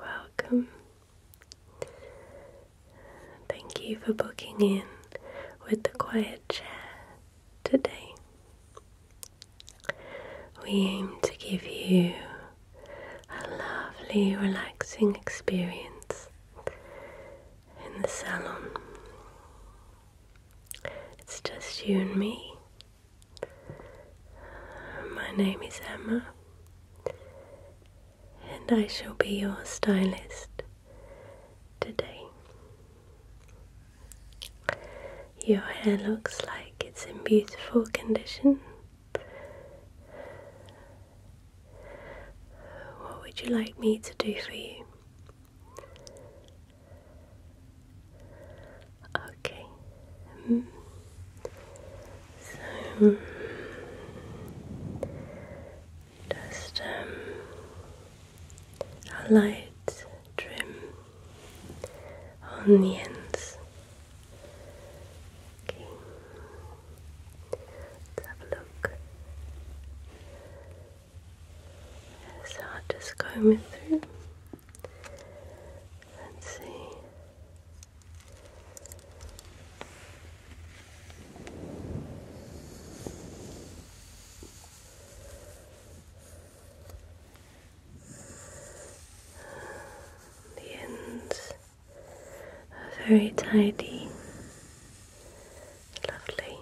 Welcome. Thank you for booking in with the quiet chair today. We aim to give you a lovely, relaxing experience in the salon. It's just you and me. My name is Emma, and I shall be your stylist today. Your hair looks like it's in beautiful condition. What would you like me to do for you? Okay. so just um, a light trim on the ends. Okay. Let's have a look. So I'll just comb it through and see. The ends are very tidy, lovely.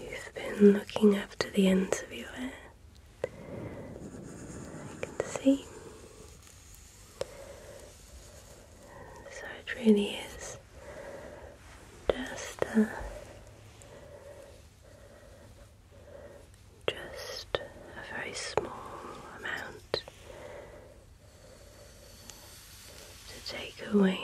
You've been looking after the ends of your hair. I can see. So it really is just a, just a very small amount to take away.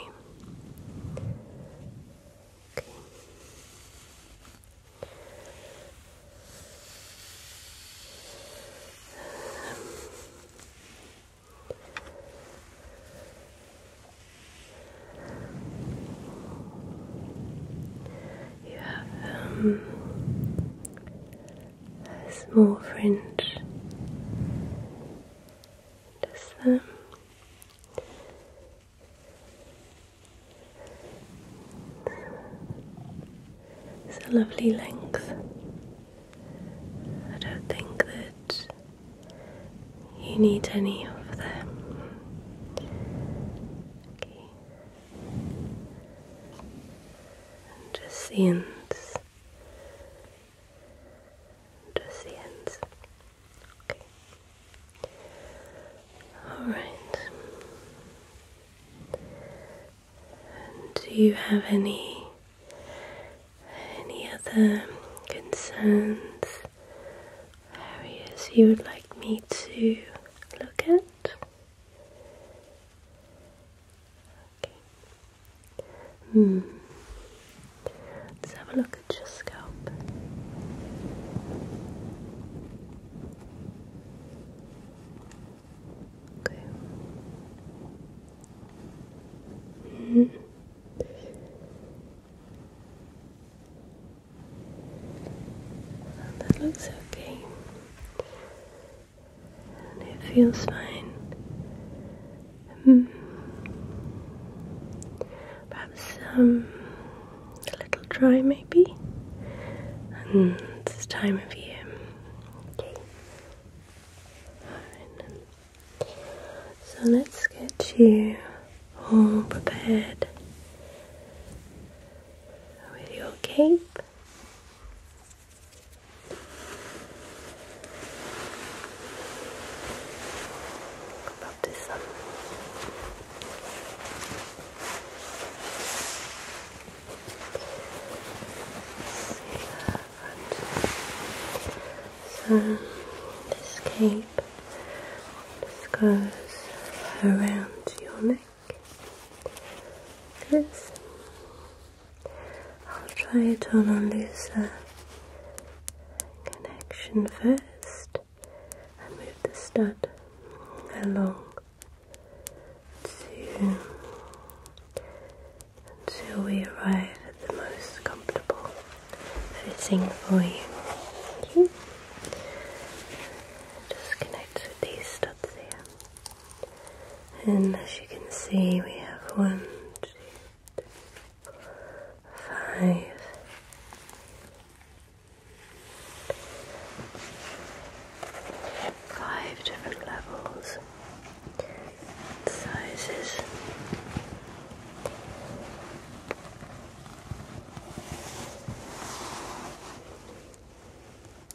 Um, you have um, a small fringe just there it's a lovely length I don't think that you need any of them just the ends just the ends. Okay. Alright. Do you have any any other concerns, areas you would like me to look at? Okay. Hmm. Let's have a look at your scalp. Okay. -hmm. That looks okay and it feels fine. Hmm. Perhaps um, a little dry, maybe. And this time of year. So let's get you all prepared with your cape. About this sun. So this cape goes around your neck this. I'll try it on a connection first I move the stud along until we arrive at the most comfortable fitting for you. Just connect with these studs here. And as you can see, we have one, two, three, different levels sizes.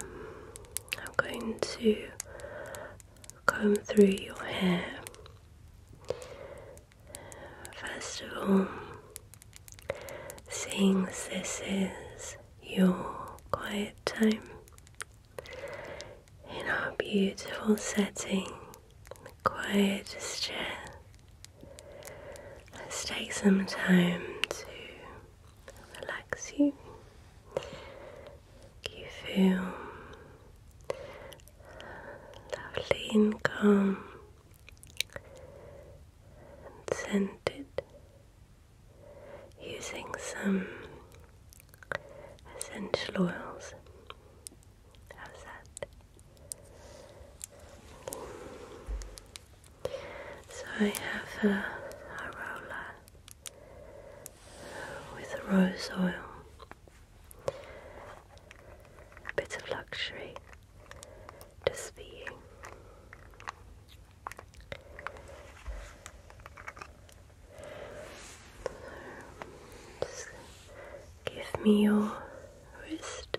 Um, I'm going to comb through your hair. First of all, seeing this is your quiet time in our beautiful setting, the quietest chair, let's take some time to relax you, you feel lovely and calm and scented using some essential oils. How's that? So I have a, roller with rose oil. A bit of luxury, just for you. just give me your wrist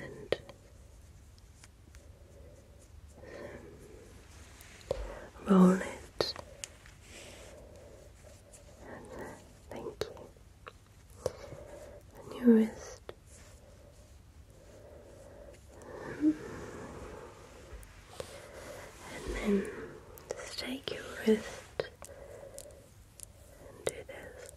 and roll it. And there, thank you. And And then take your wrist do this.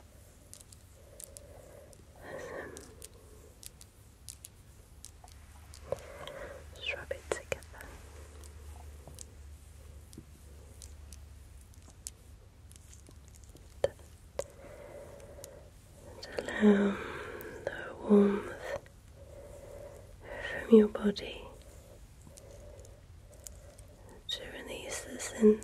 rub it together. And allow the warmth from your body to release the scent.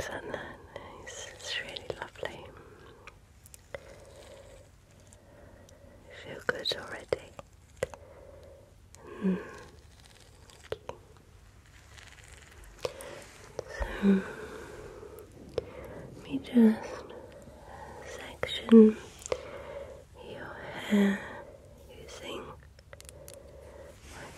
isn't that nice? It's really lovely. You feel good already. Hmm. let me just section your hair using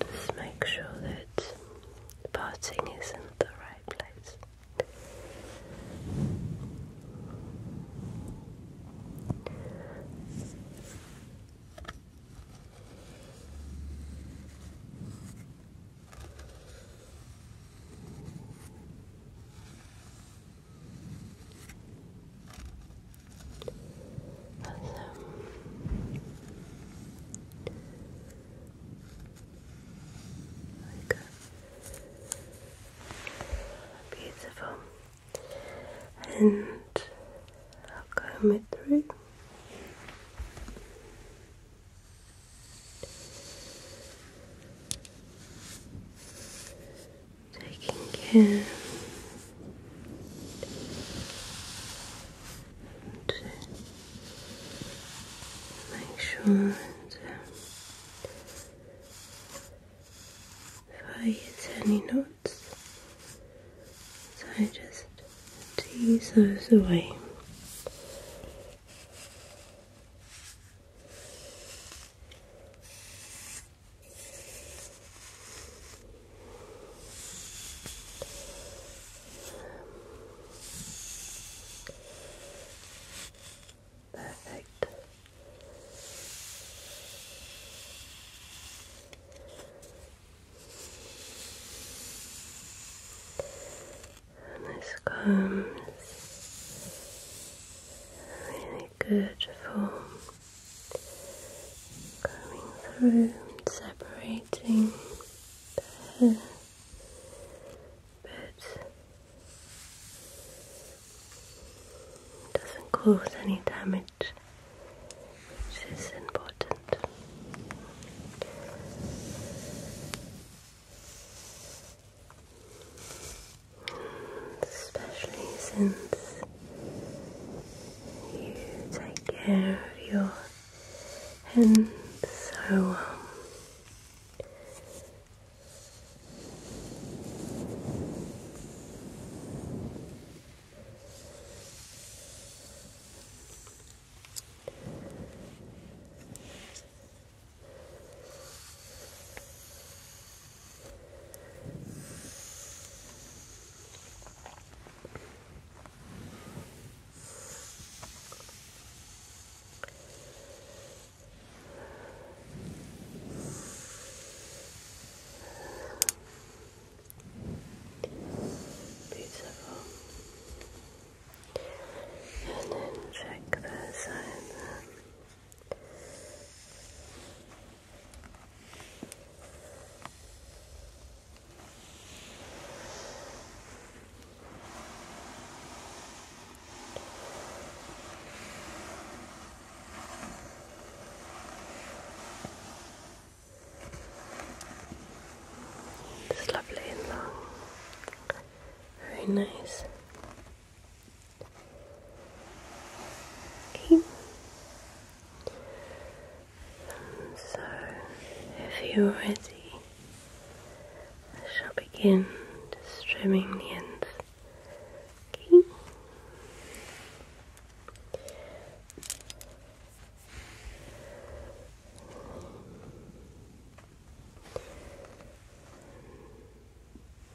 Just make sure that parting is not the right place. Beautiful. And I'll comb through. Taking care to make sure that if I hit any notes, so I just tease those away. Perfect. And this comes really good for Going through and separating the hair but doesn't cause any damage, which is important. Especially since you take care of your hands so um, Beautiful. And then check the side. It's lovely in there. Very nice. Okay. So, if you're ready, I shall begin just trimming the ends. Okay.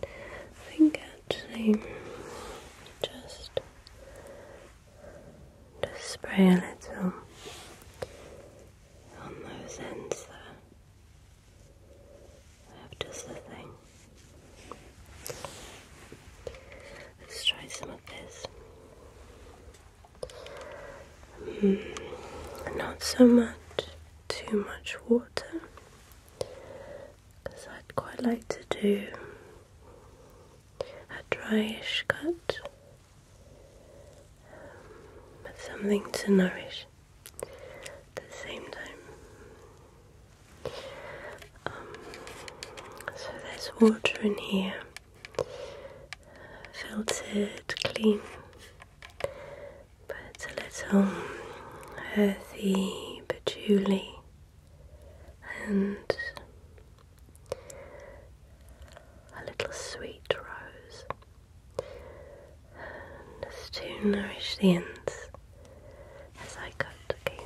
I think actually just just spray a little on those ends there. That does the thing. Let's try some of this. Hmm, not so much, too much water, because I'd quite like to do a dryish cut, but um, something to nourish at the same time. Um, so there's water in here, uh, filtered, clean, but a little earthy, but patchouli and a little sweet rose, just to nourish the ends as I cut, okay?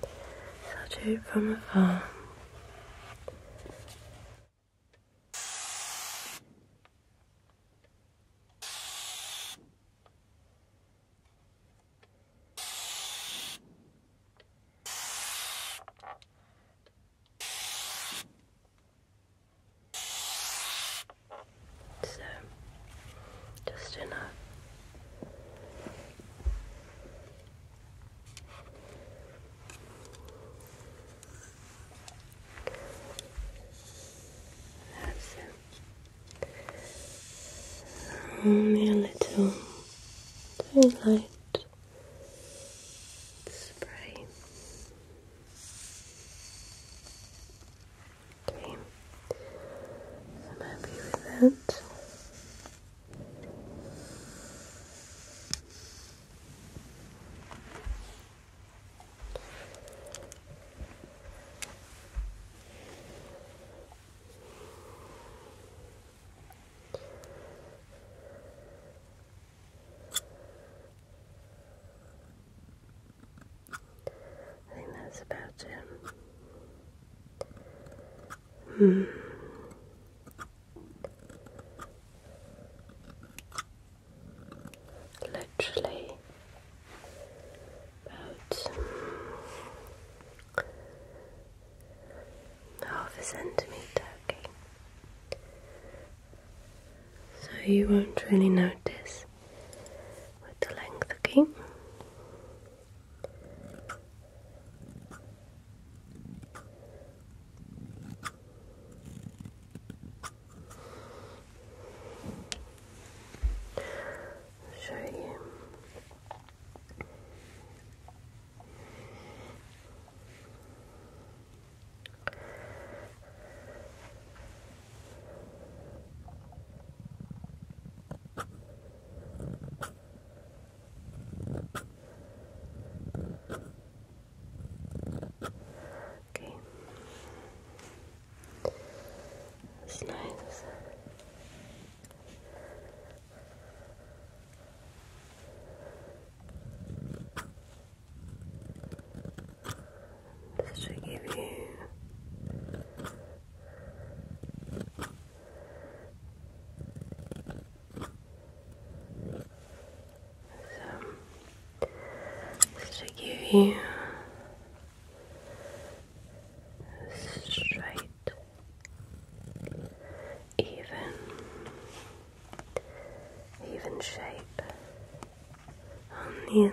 So i do it from afar. So, just enough. That's it. Only a little very light spray. Okay, I'm happy with that. I think that's about it. Hmm. Literally about half a centimetre, okay? So you won't really notice with the length, okay? I'll show you. Okay. It's this should give you so this give you straight even, even shape on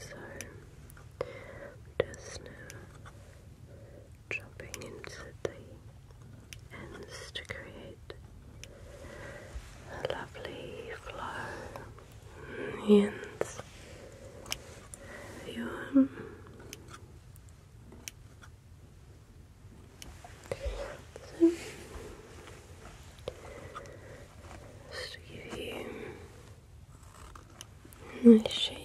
So just now dropping into the ends to create a lovely flow ends of just to give you nice shape.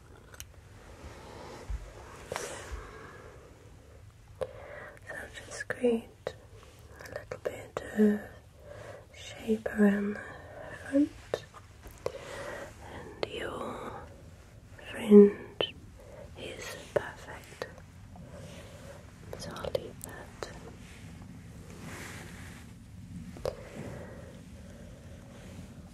So just create a little bit of shape around the front and your fringe is perfect. So I'll leave that.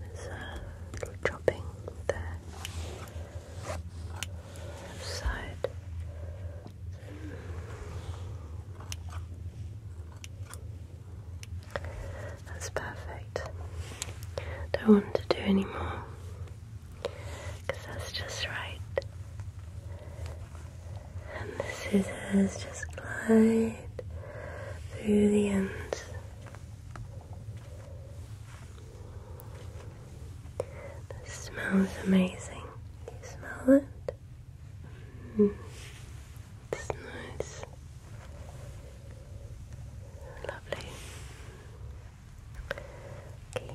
there's a little dropping there. Side. That's perfect. Don't want to do any more that's just right. And the scissors just glide through the ends. The smell is amazing. you smell it? Mm. It's nice. Lovely. Okay.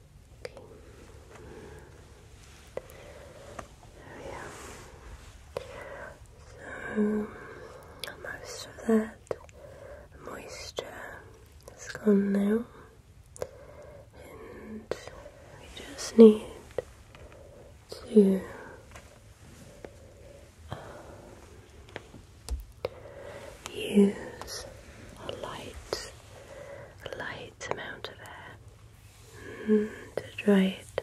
Okay. There we go. So, most of that moisture is gone now, and we just need to um, use a light, light amount of air to try it.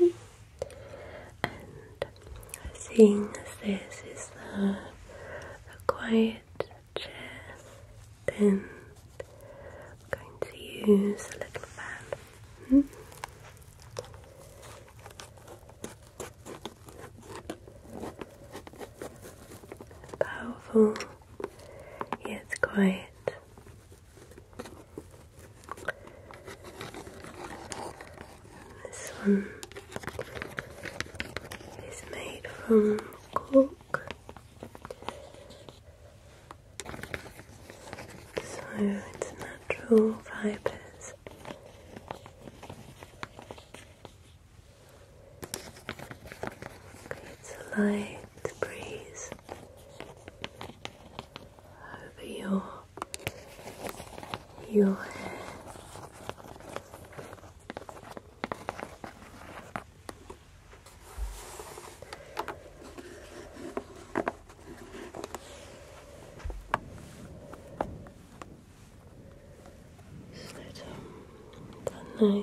And seeing as this is a, a quiet chair, then I'm going to use a little fan. Hmm? Powerful yet quiet this one is made from cork. So it's natural fibres. It's a light breeze over your your hair. nice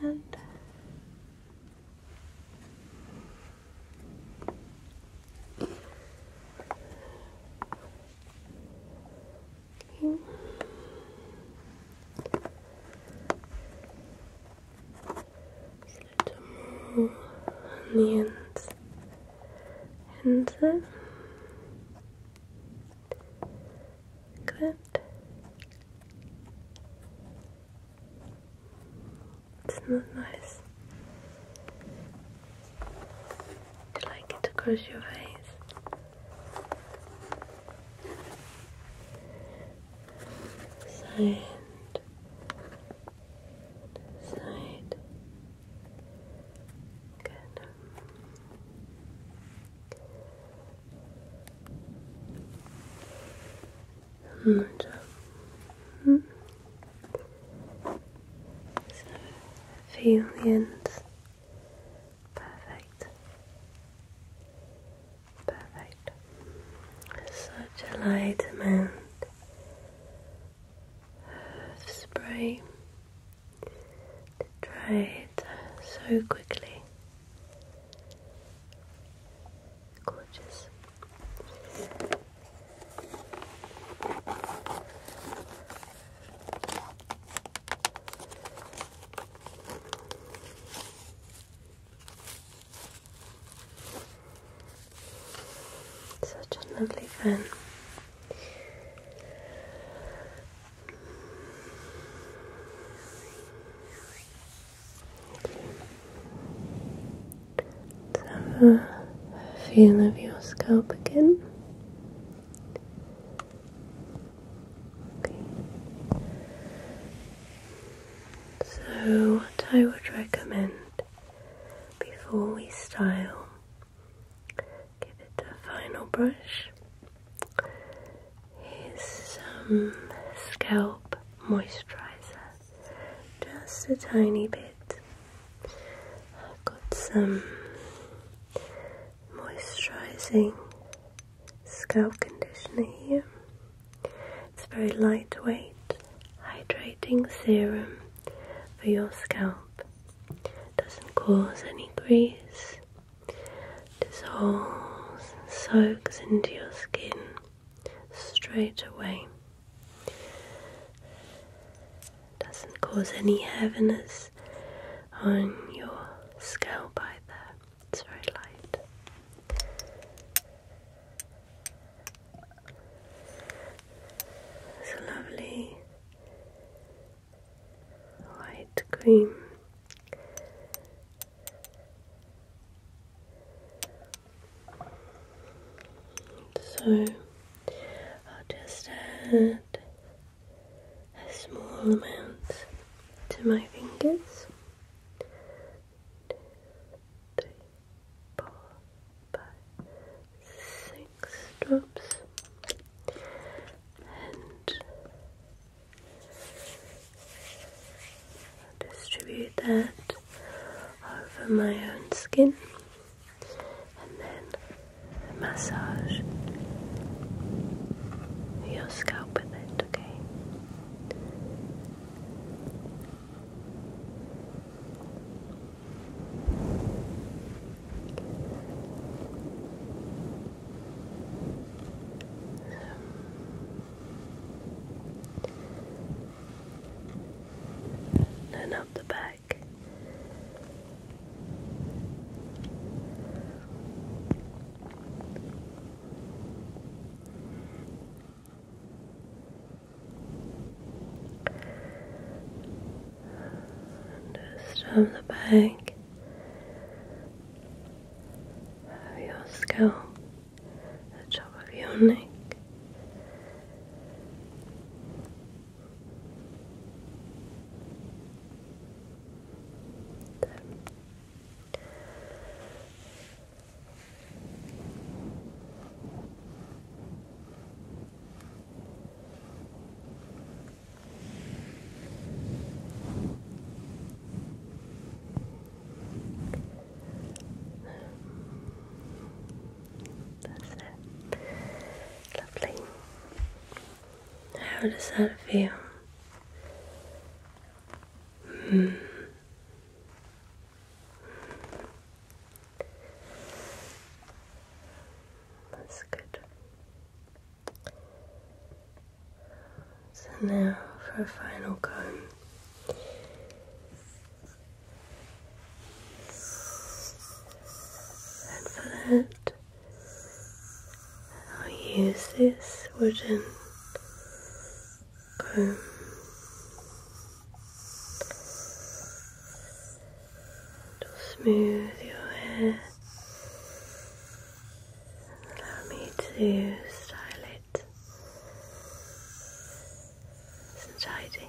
Good. you, Just a little more And uh, Good. It's not nice. Do you like it across your face? Side, side, Good. Good job. -hmm. So, feelings. Perfect. Perfect. Such a spray to dry it so quickly. Gorgeous. Such a lovely fan. Let's have a feel of your scalp again. So, what I would recommend before we style Give it a final brush. Here's some scalp moisturizer, just a tiny bit. I've got some moisturizing scalp conditioner here. It's a very lightweight, hydrating serum for your scalp doesn't cause any grease, dissolves and soaks into your skin straight away, doesn't cause any heaviness on your scalp either. It's very light. It's lovely light cream. So I'll just add a small amount to my fingers. Two, three, four, by six drops and distribute that over my own skin and then massage your scalp with it, okay? Then um, up the back. Just on the back of your scalp, the top of your neck. That's it. Lovely. How does that feel? Mm. That's good. So now for a final comb. And for that, I'll use this wooden comb. To smooth your hair. Allow me to style it. Nice tidy.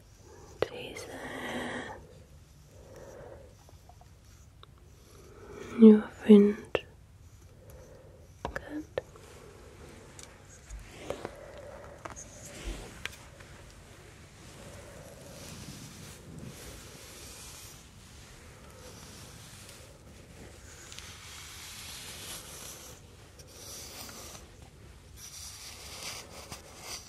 Jesus. Your wind. Good.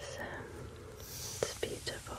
So it's beautiful.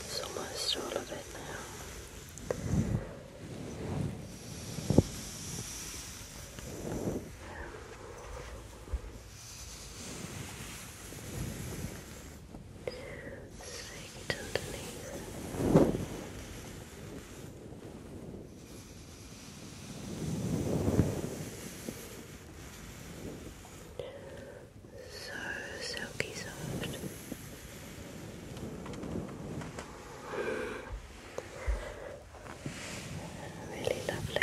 It's almost all of it now. Take it underneath. So silky soft. Really lovely.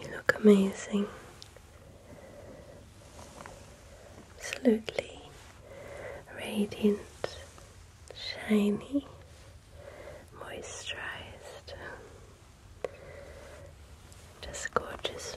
You look amazing. Absolutely radiant, shiny, moisturized. Just gorgeous.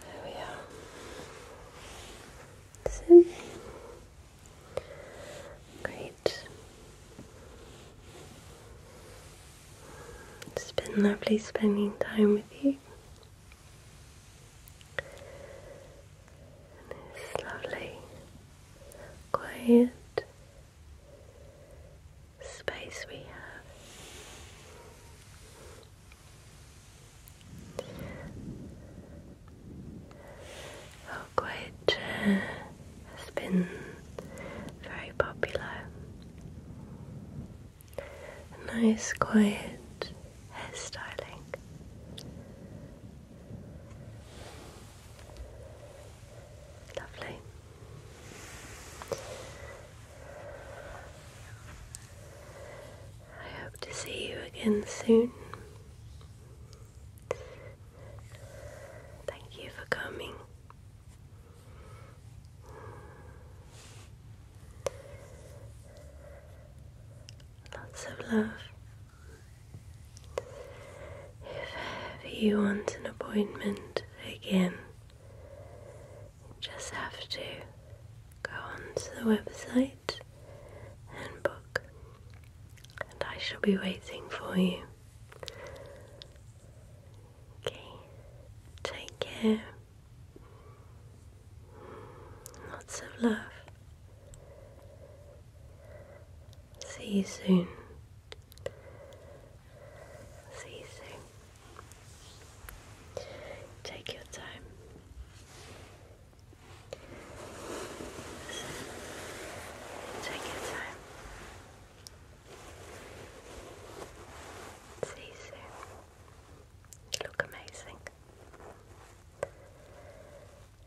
There we are. That's it. Great. It's been lovely spending time with you. And lovely, quiet space we have. Oakwood oh, has been very popular. Nice, quiet hairstyling. Lovely. I hope to see you again soon. Thank you for coming. Lots of love. If you want an appointment again, just have to go onto the website and book, and I shall be waiting for you. Okay, take care. Lots of love. See you soon. See you soon. Take your time. Take your time. See you soon. You look amazing.